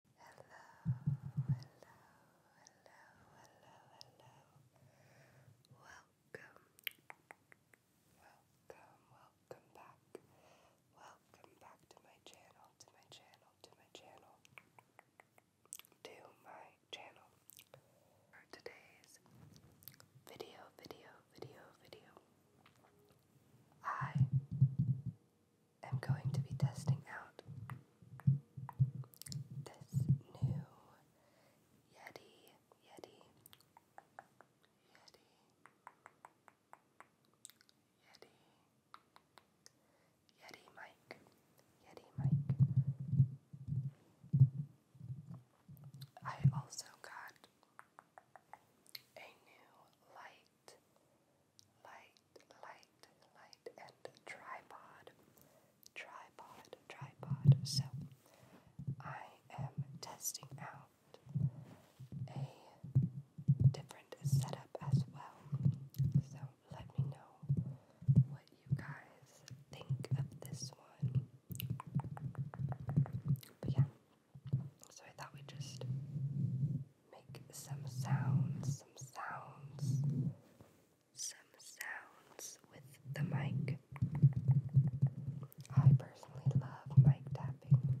Hello, hello, hello, hello, hello. Welcome, welcome, welcome back. Welcome back to my channel, to my channel, to my channel, to my channel. For today's video, video, video, video, I i am going to be testing out this new Yeti, Yeti, Yeti, Yeti, Yeti mic, Yeti mic. I also got a new light light, light, light, and tripod, tripod, tripod. So I am testing out a different setup as well. So let me know what you guys think of this one. But so I thought we'd just make some sounds, some sounds, some sounds with the mic. I personally love mic tapping.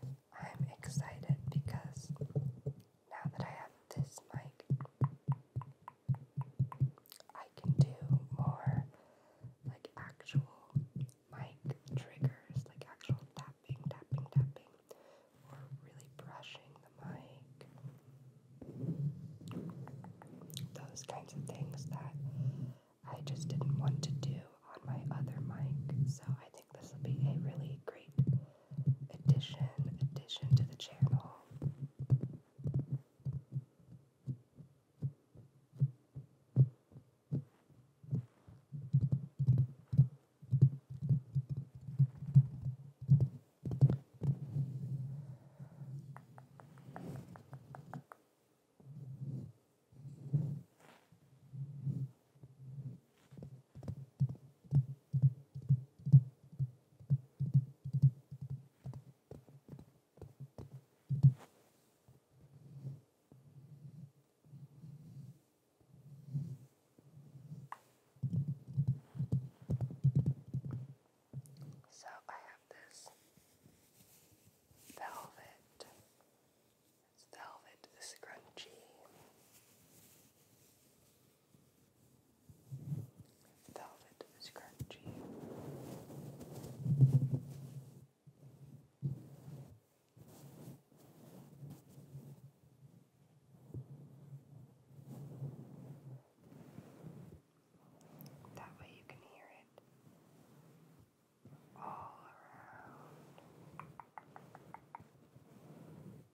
I'm excited because now that I have this mic, I can do more like actual mic triggers, like actual tapping, tapping, tapping, or really brushing the mic. Those kinds of things that I just didn't want to do on my other mic. So I think this will be a really great addition, addition to the channel. So I have this velvet. It's velvet scrunchie velvet scrunchie. That way you can hear it all around.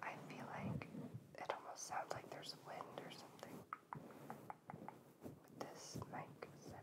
I feel like it almost sounds like there's wind or something with this mic setting.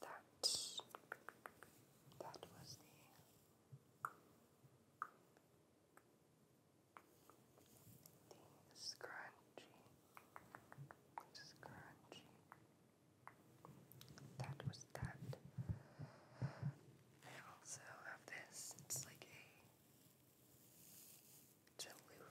that that was the the scrunchy scrunchy that was that I also have this it's like a Chalupa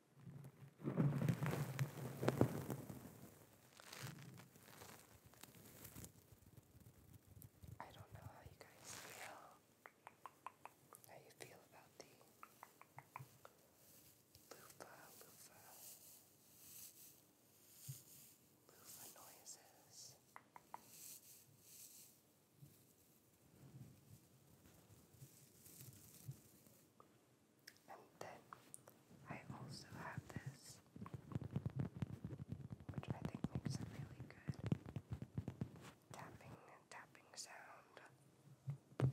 I don't know how you guys feel, how you feel about the loofah, loofah, loofah noises. And then I also have this, which I think makes a really good tapping tapping sound.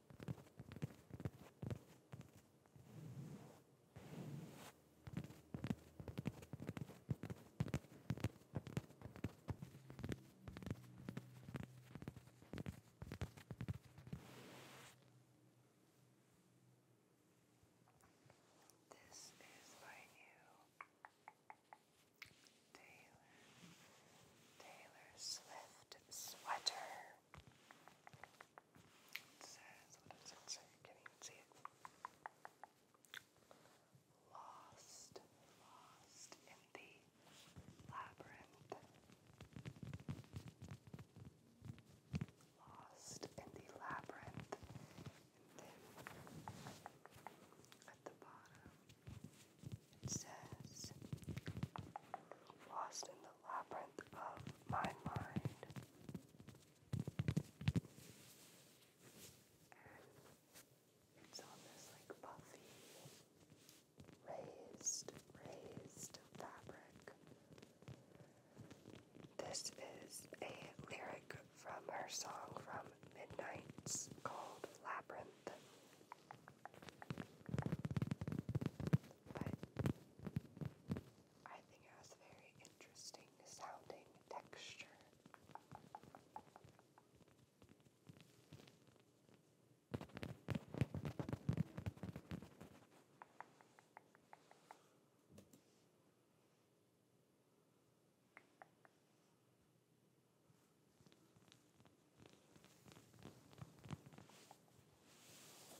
This is by you, Taylor, Taylor Swift sweater. It says, what does it say? Can you see it? Lost, lost in the labyrinth. Lost in the labyrinth. And then at the bottom, it says, lost in the labyrinth of my mind. it's on this like puffy, raised, raised fabric. This is a lyric from her song from Midnight's called Labyrinth. But I think it has a very interesting sounding texture.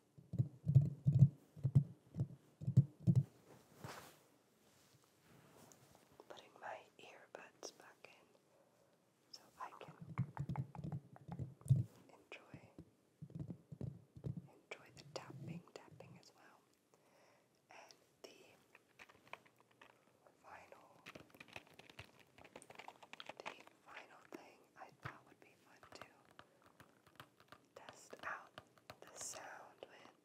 Putting my earbuds back in so I can enjoy enjoy the tapping tapping as well. And the final the final thing I thought would be fun too test out the sound with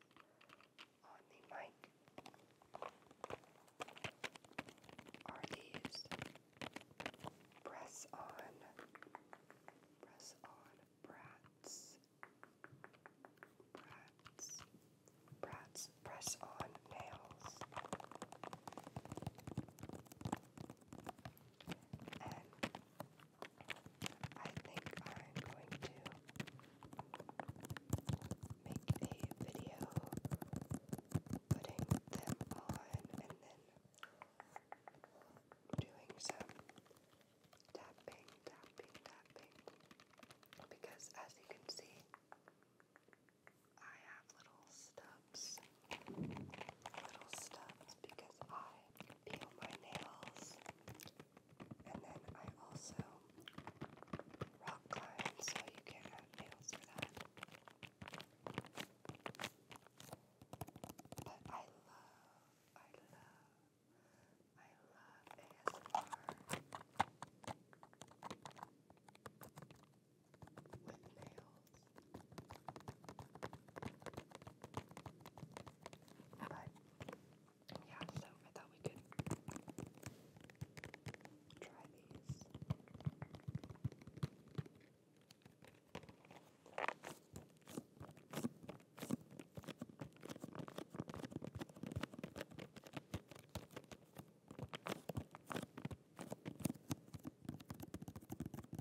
on the mic are press on press on brats brats brats press on nails and I think I'm going to make a video putting them on and then doing some tapping, tapping, tapping. Because as you can see, I have little stubs little stubs because I peel my nails and then I also rock climb, so you can't have nails for that. But I love, I love, I love ASMR with nails. But yeah, so I thought we could try these.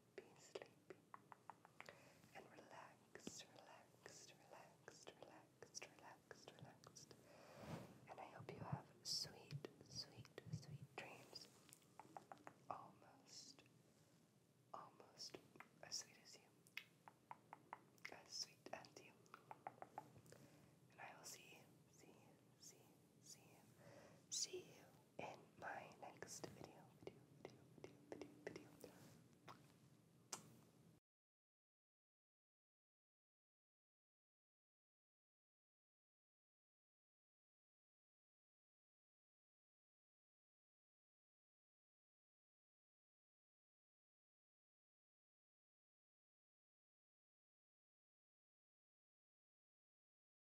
sleepy, sleepy. And relaxed, relaxed, relaxed, relaxed, relaxed, relaxed. And I hope you have sweet, sweet, sweet dreams. Almost, almost as sweet as you. As sweet as you. And I will see see see see see you in my next video, video, video, video, video, video.